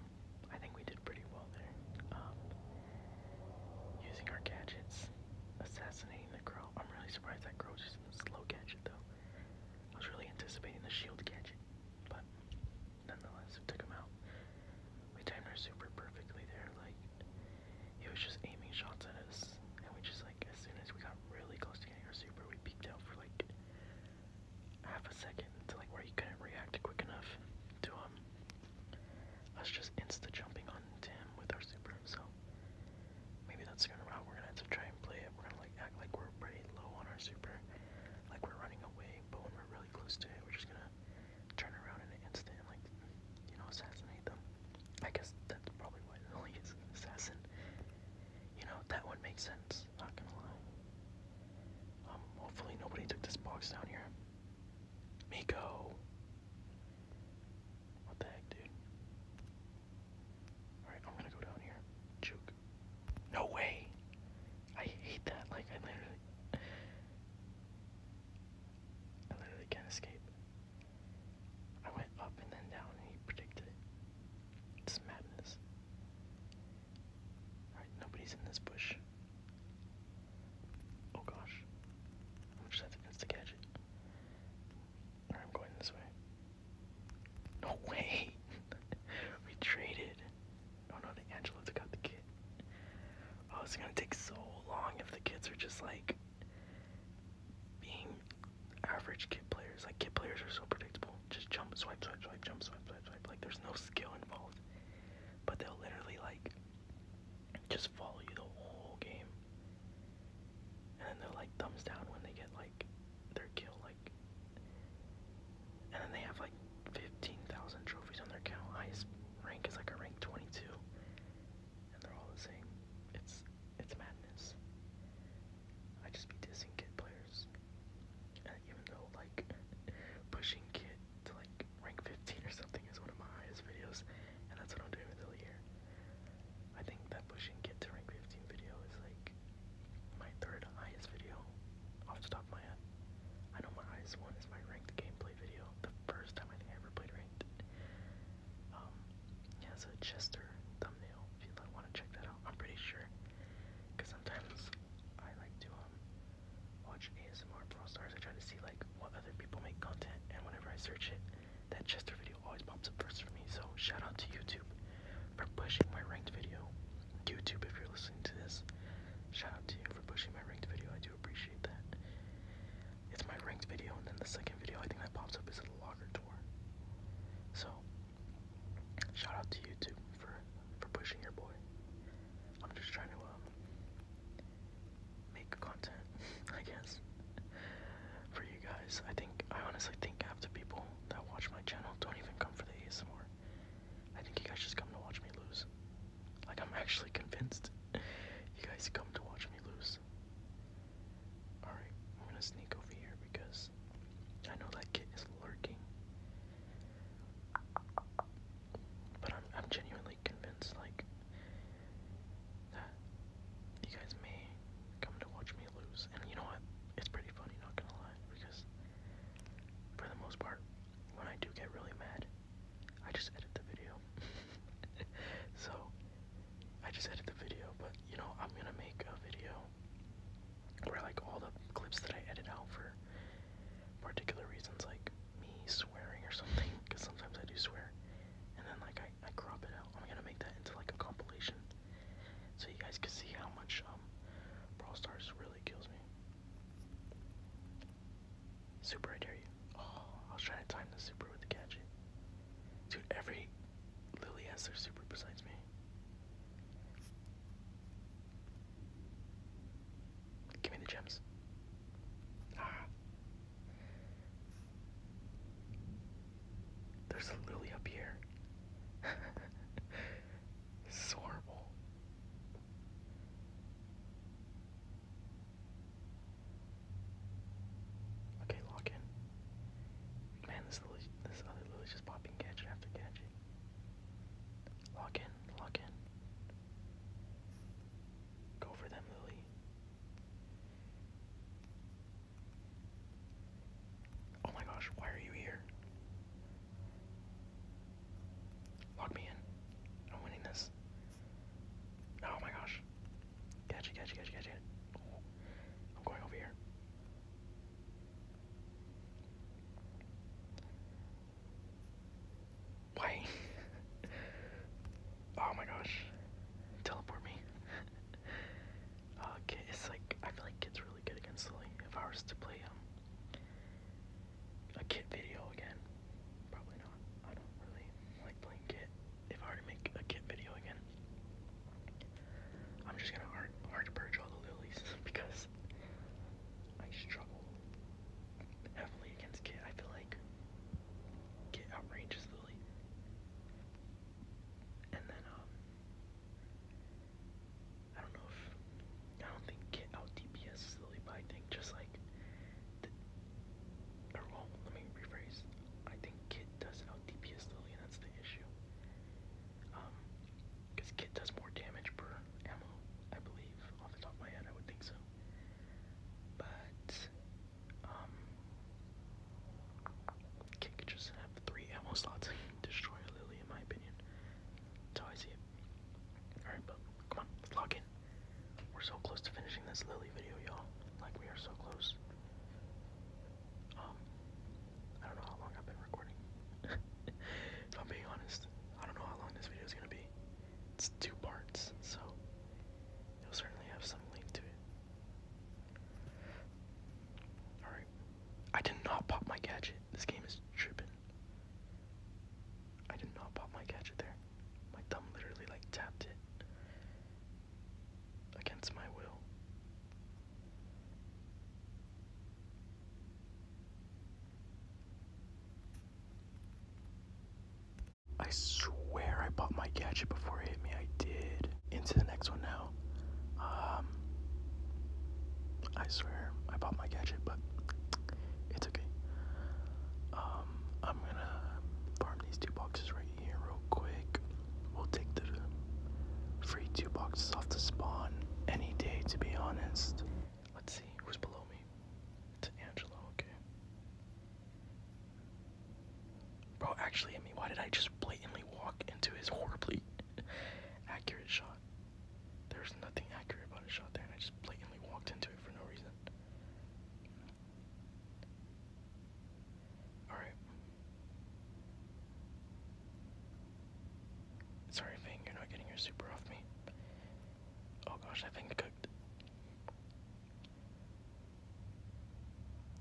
I think we did pretty well there. Um, using our gadgets, assassinating the crow. I'm really surprised that crow's using the slow gadget though. I was really anticipating the shield gadget, but nonetheless, it took him out. We timed our super perfectly there. Like he was just aiming shots at us, and we just like as soon as we got really close to getting our super, we peeked out for like half a second to like where he couldn't react quick enough to um us just insta jumping on Tim with our super. So maybe that's gonna route. We're gonna have to try and play it. We're gonna like act like we're pretty low on our super, like we're running away, but when we're really close to it, we're just gonna turn around in an instant and like you know assassinate them. I guess that's probably why Lily is an assassin. You know, that one makes sense, not gonna lie. Um, hopefully nobody took this box down here. Miko! What the heck, dude? Alright, I'm gonna go down here. Juke. No way! I hate that, like, I literally... I literally can't escape. I went up and then down and he predicted it. It's madness. Alright, nobody's in this bush. Oh gosh. I'm just have to insta I'm going this way. No way! we traded. Oh no, the Angela took out the kid. Oh, it's gonna take so long if the kids are just like being average kid players. Like kid players are so predictable. Just jump, swipe, swipe, swipe, jump, swipe, swipe, swipe. Like there's no skill involved. But they'll literally like just follow you the whole game. And then they're like thumbs down when they get like their kill, like and then they have like 15,000 trophies on their account. Highest rank is like a rank 22 and they're all the same. It's it's madness. I just be dissing kid players, and uh, even though like pushing kid to like rank 15 or something is one of my highest videos, and that's what I'm doing with here. I think that pushing kid to rank 15 video is like my third highest video off the top of my head. I know my highest one is my ranked gameplay video, the first time I think I ever played ranked. Um, yeah, it's a Chester thumbnail if you like, want to check that out. I'm pretty sure, because sometimes I like to um watch ASMR Brawl Stars. I try to see like what other people make content, and whenever I search it, that Chester video always pops up first for me. So shout out to YouTube for pushing my ranked video. YouTube, if you're listening to this, shout out to you for pushing my ranked video. I do appreciate. It's my ranked video, and then the second video I think that pops up is a logger tour. So, shout out to YouTube for for pushing your boy. I'm just trying to um, make content, I guess, for you guys. I think I honestly think after people that watch my channel don't even come for the ASMR. I think you guys just come to watch me lose. Like I'm actually convinced you guys come to watch me lose. Alright, I'm gonna sneak over here because I know that kid is lurking. But I'm, I'm genuinely convinced, like, that you guys may come to watch me lose. And you know what? It's pretty funny, not gonna lie, because for the most part, when I do get really mad, I just edit the video. so, I just edited the video, but you know, I'm gonna make a video where like all the clips that I edit out for particular reasons, like me swearing or something, because sometimes I do swear, and then like I, I crop it out. I'm gonna make that into like a compilation, so you guys can see how much um Brawl Stars really kills me. Super, I dare you. Oh, I was trying to time the super with the gadget. Dude, every Lily has their super besides me. Give me the gems. Ah. There's a lily up here. this horrible. Okay, lock in. Man, this Lily, this other Lily's just popping gadget after gadget. Lock in, lock in. Go for them, Lily. Oh my gosh, why are you here? Lock me in. I'm winning this. Oh my gosh. Gotcha, gotcha, gotcha, gotcha. Oh, I'm going over here. Why? oh my gosh. Teleport me. okay, uh, it's like, I feel like Kid's really good against Lily. If I was to play um, a Kid video again, probably not. I don't really like playing Kid if I were to make a kit video again, I'm just gonna hard, hard purge all the lilies because I struggle heavily against Kit. I feel like Kit outranges Lily. And then, um, I don't know if, I don't think Kit out DPS Lily, but I think just like, the, oh, let me rephrase. I think Kid doesn't out oh, DPS Lily, and that's the issue. Um, because Kit does more damage per ammo, I believe, off the top of my head, I would think so. But, um, Kit could just have three ammo slots destroy Lily, in my opinion. That's how I see Alright, but come on, let's log in. We're so close to finishing this Lily video, y'all. Like, we are so close. Um, I don't know how long I've been recording. if I'm being honest, I don't know how long this video is gonna be. It's two parts, so it'll certainly have some link to it. Alright. I did not pop my gadget. This game is tripping. I did not pop my gadget there. My thumb literally like tapped it against my will. I swear I bought my gadget before it hit me. I did. Into the next one now. Um, I swear I bought my gadget, but it's okay. Um, I'm gonna farm these two boxes right here real quick. We'll take the free two boxes off the spawn any day, to be honest. Let's see who's below me. It's Angelo, okay. Bro, actually, I mean, why did I just blatantly walk into his horribly accurate shot? There's nothing accurate about a shot there, and I just blatantly walked into it for no reason. Alright. Sorry, Fang, you're not getting your super off me. Oh gosh, that Fang cooked.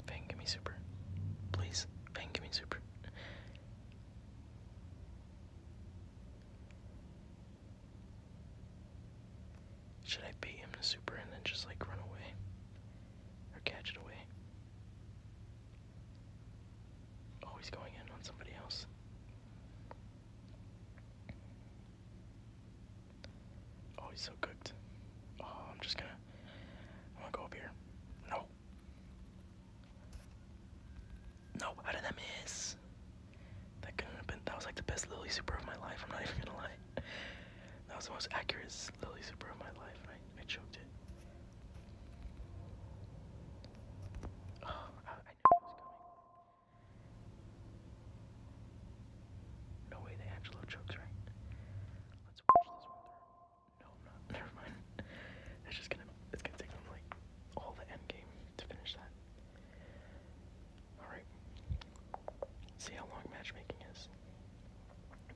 Fang, give me super. Please, Fang, give me super. Should I bait him to super and then just like run away? Or catch it away? Always oh, going in on somebody else. Oh, he's so cooked. Oh, I'm just gonna. I'm gonna go up here. No. No, how did that miss? That couldn't have been. That was like the best Lily super of my life. I'm not even gonna lie. That was the most accurate was Lily my life and I, I choked it. Oh, I, knew it was coming. No way the Angelo chokes, right? Let's watch this one No, I'm not. Never mind. It's just gonna it's gonna take them like all the end game to finish that. Alright. See how long matchmaking is.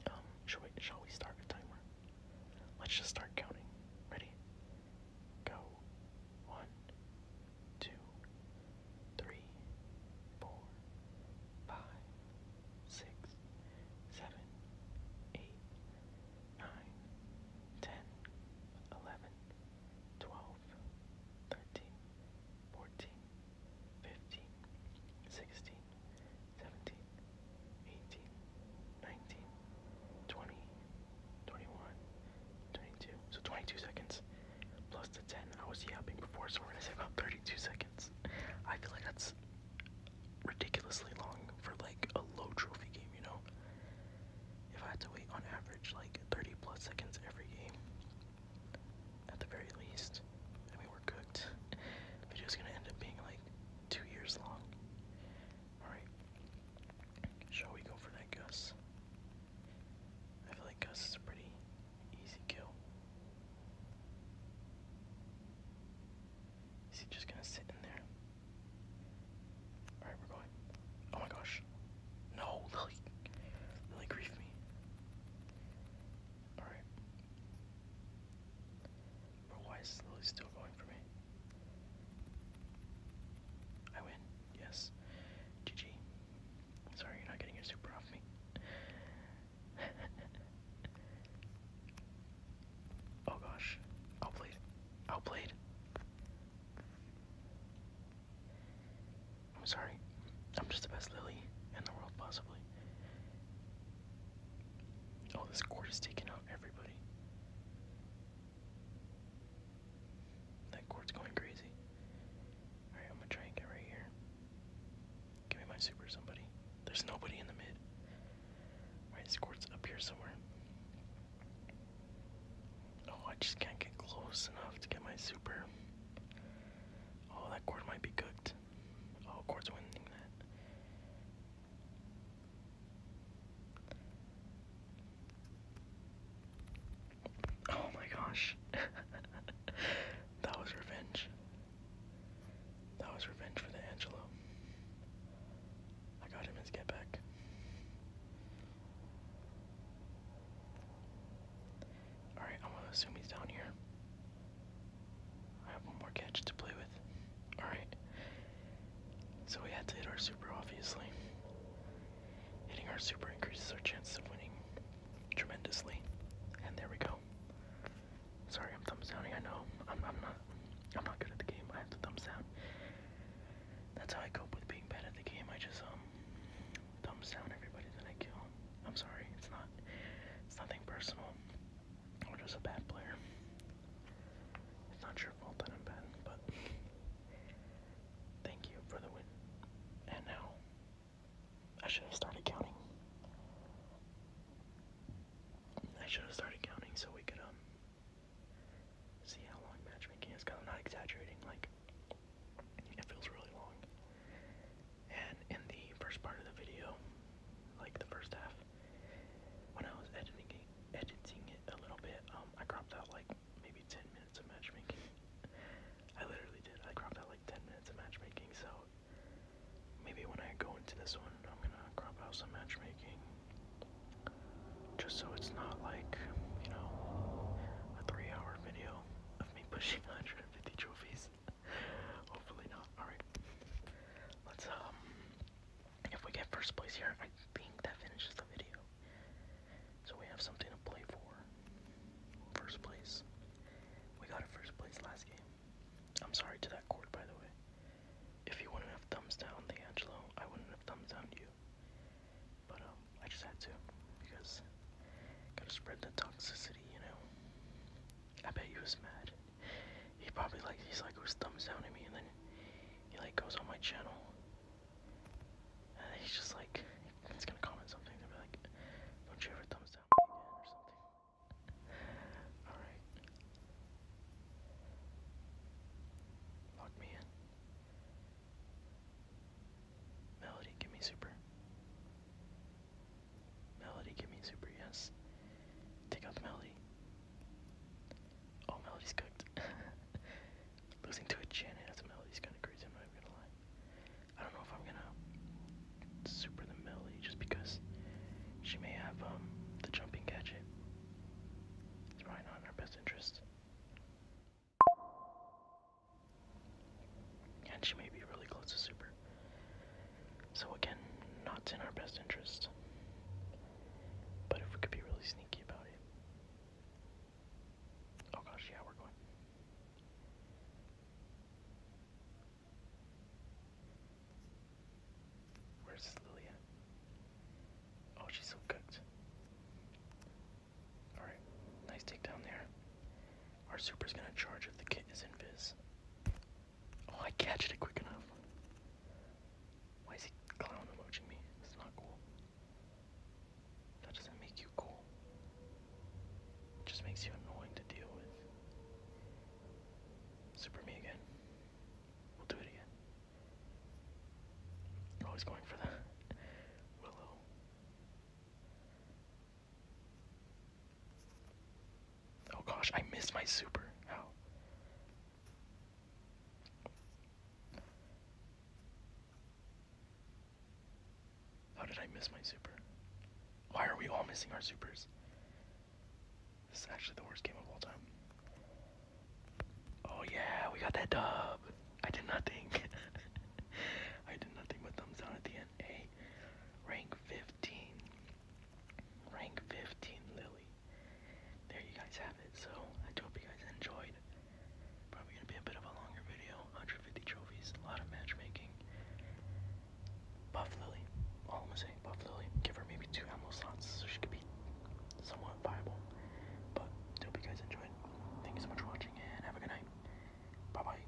Um, shall we, shall we start a timer? Let's just start counting. Ready? Go. One, two, three, four, five, six, seven, eight, nine, ten, eleven, twelve, thirteen, fourteen. 15, 16, 17, 18, 19, 20, 21, 22, 10, 11, 12, 13, 14, 15, So 22 seconds plus the 10 I was yapping before, so we're gonna say about 32 seconds. I feel like that's ridiculously long for like a low trophy game, you know? If I had to wait on average like 30 plus seconds every game, at the very least. And we were cooked. Video is gonna end up being like two years long. Alright. Shall we go for that Gus? I feel like Gus is a pretty easy kill. Is he just gonna sit in there? Alright, we're going. Oh my gosh. No, Lily. Lily grief me. Alright. Bro, why is Lily still going for me? I win. Yes. GG. Sorry, you're not getting your super off me. oh gosh. Outplayed. Outplayed. I'm sorry. I'm just the best Lily in the world, possibly. Oh, this court is taking out everybody. That court's going crazy. Alright, I'm gonna try and get right here. Give me my super somebody. There's nobody in the mid. Alright, this court's up here somewhere. Oh, I just can't get close enough to get my super. Oh, that cord might be cooked. Oh, Quartz winning that. Oh my gosh. that was revenge. That was revenge for the Angelo. I got him his get Alright, I'm gonna assume he's down here. I have one more gadget to play with. Alright. So we had to hit our super, obviously. Hitting our super increases our chances of winning tremendously. And there we go. Sorry, I'm thumbs downing. I know I'm, i not. I'm not good at the game. I have to thumbs down. That's how I cope with being bad at the game. I just um thumbs down everybody that I kill. I'm sorry, it's not it's nothing personal. I'm just a bad player. It's not your fault that I'm bad, but thank you for the win. And now I should have started counting. I should have started counting so we could um see how long matchmaking is. Cause I'm not exaggerating. Like it feels really long. And in the first part of the video, like the first half, when I was editing editing it a little bit, um, I cropped out like maybe 10 minutes of matchmaking. I literally did. I cropped out like 10 minutes of matchmaking, so maybe when I go into this one, I'm gonna crop out some matchmaking. Just so it's not like, you know, a three hour video of me pushing 150 trophies. Hopefully not. Alright. Let's, um, if we get first place here, I think that finishes the video. So we have something to play for. First place. We got a first place last game. I'm sorry to that court, by the way. If you wouldn't have thumbs down the Angelo, I wouldn't have thumbs down you. But, um, I just had to. Because, gotta spread the toxicity, you know? I bet he was mad. He probably like he's like was thumbs down at me and then he like goes on my channel. And he's just like he's gonna comment something and be like, Don't you ever thumbs down me or something. Alright. Lock me in. Melody, give me super. Melody, give me super, yes. Take out the Melody. All oh, Melody's cooked. Losing to a Janet as a Melody's kind of crazy, I'm not even gonna lie. I don't know if I'm gonna super the Melody just because she may have um, the jumping gadget. It's probably not in our best interest. And she may be really close to super. So again, not in our best interest. But if we could be really sneaky about it. Oh gosh, yeah, we're going. Where's Lilia? Oh, she's so cooked. Alright, nice down there. Our super is gonna charge if the kid is invis. Oh, I catched it quick enough. Why is he clown emoji me? It's not cool. That doesn't make you cool. It just makes you annoying to deal with. Super me again. We'll do it again. always going for that. Willow. Oh gosh, I missed my super. How? How did I miss my super? Why are we all missing our supers? This is actually the worst game of all time. Oh yeah, we got that dub. I did nothing. I did nothing but thumbs down at the end a rank 15, rank 15 Lily. There you guys have it. So I hope you guys enjoyed. Probably gonna be a bit of a longer video. 150 trophies, a lot of matchmaking. Buff Lily, I'm gonna say, Buff Lily. Give her maybe two ammo slots so she could be somewhat viable. But I hope you guys enjoyed. Thank you so much for watching and have a good night. Bye bye.